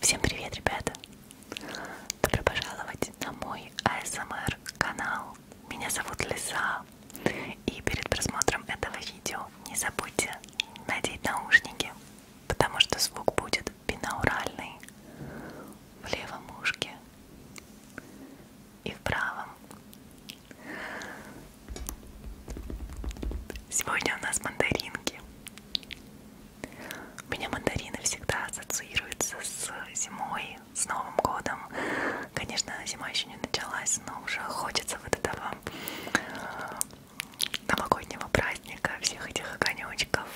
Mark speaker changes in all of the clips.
Speaker 1: Всем привет, ребята! Добро пожаловать на мой ASMR канал. Меня зовут Лиса. И перед просмотром этого видео не забудьте надеть наушники, потому что звук будет бинауральный в левом ушке и в правом. Сегодня у нас мандаринки. У меня мандарины всегда ассоциируются с зимой, с Новым годом. Конечно, зима еще не началась, но уже хочется вот этого новогоднего праздника, всех этих огонечков,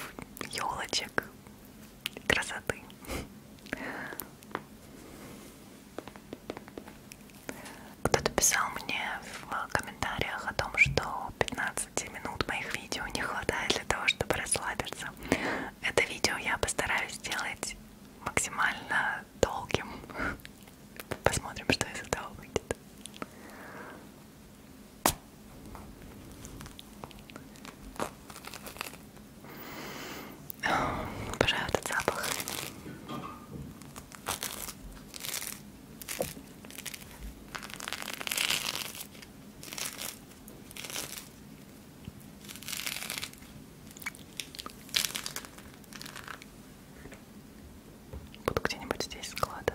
Speaker 1: елочек, красоты. Кто-то писал мне в комментариях о том, что 15 15 минут моих видео не хватает для того, чтобы расслабиться. Это видео я постараюсь сделать максимально долгим. Посмотрим, что из этого выйдет. Обожаю этот запах. Буду где-нибудь здесь складывать.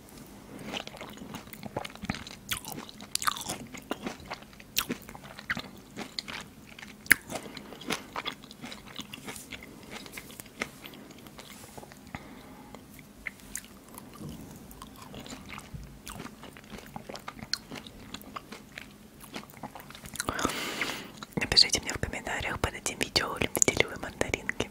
Speaker 1: Напишите мне в комментариях под этим видео, любите ли вы мандаринки.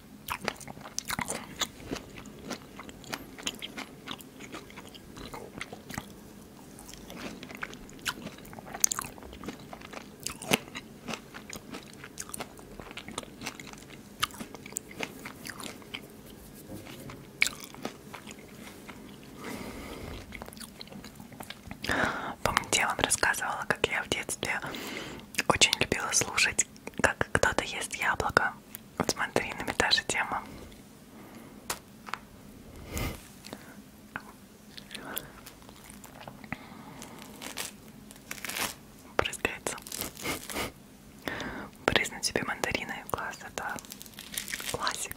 Speaker 1: Помните, я вам рассказывала, как я в детстве очень любила слушать, как кто-то ест яблоко. Вот смотри, нами та же тема. Брызгается. Брызну тебе мандариной. Класс, это классик.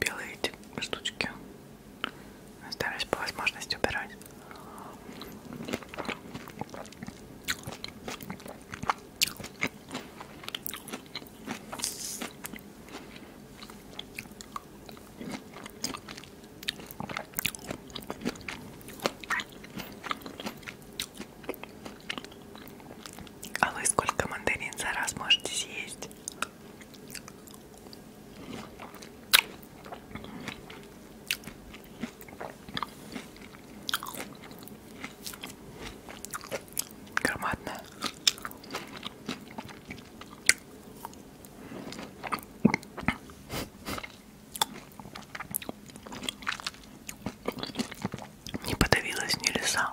Speaker 1: Белые эти штучки стараюсь по возможности убирать. А вы сколько мандарин за раз можете съесть? Громадная. Не подавилась ни леса.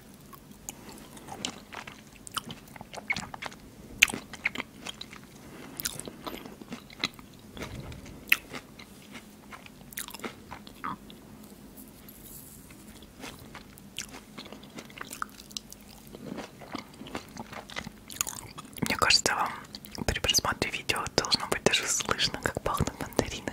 Speaker 1: Мне кажется, вам при просмотре видео должно быть даже слышно, как пахнут мандарины.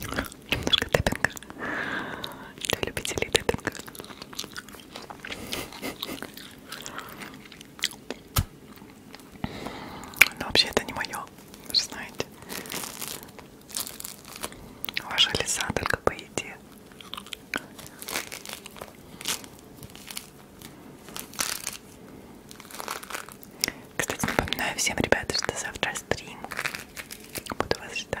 Speaker 1: Немножко тэппинга для любителей тэппинга. Но вообще это не мое, вы же знаете. Ваша лиса только по еде. Кстати, напоминаю всем, ребята, что завтра стрим. Буду вас ждать.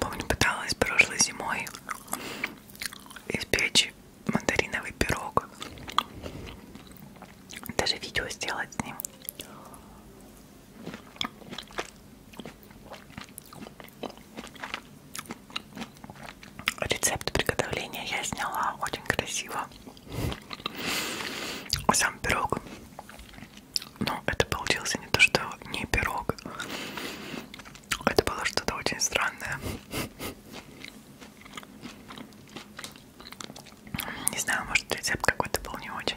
Speaker 1: Помню, пыталась прошлой зимой испечь мандариновый пирог. Даже видео сделать с ним. Рецепт приготовления я сняла очень красиво. Сам пирог но это получился не то, что не пирог. Это было что-то очень странное. Не знаю, может рецепт какой-то был не очень.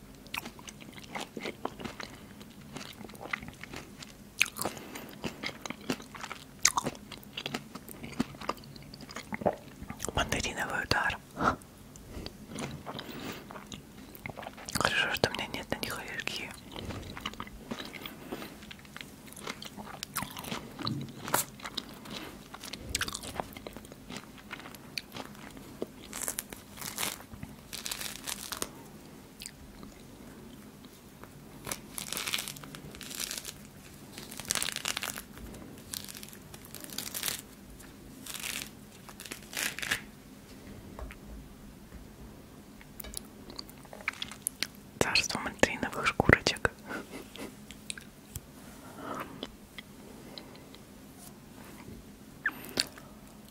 Speaker 1: Мандариновый удар. Хорошо, что у меня нет на них аллергии. Царство мальтриновых шкурочек.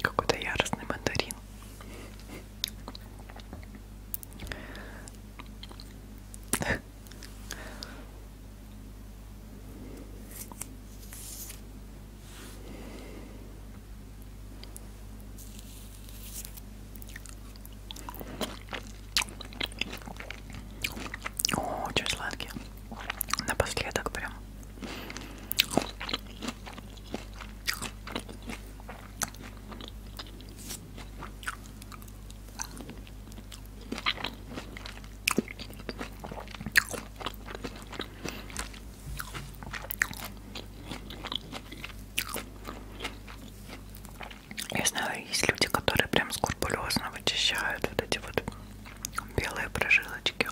Speaker 1: Какой-то яростный мандарин. Очень сладкие. Напоследок прям. Я знаю, есть люди, которые прям скрупулезно вычищают вот эти вот белые прожилочки.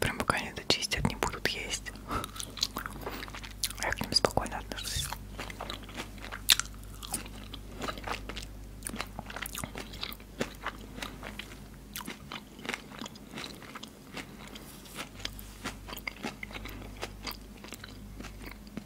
Speaker 1: Прям пока они дочистят, не будут есть. Я к ним спокойно отношусь.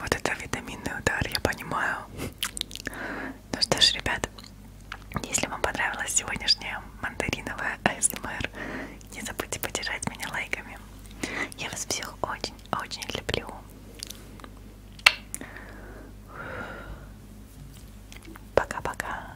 Speaker 1: Вот это витаминный удар, я понимаю. Ну что ж, ребят, если вам понравилась сегодняшняя мандариновая АСМР, не забудьте поддержать меня лайками. Я вас всех очень-очень люблю. Пока-пока.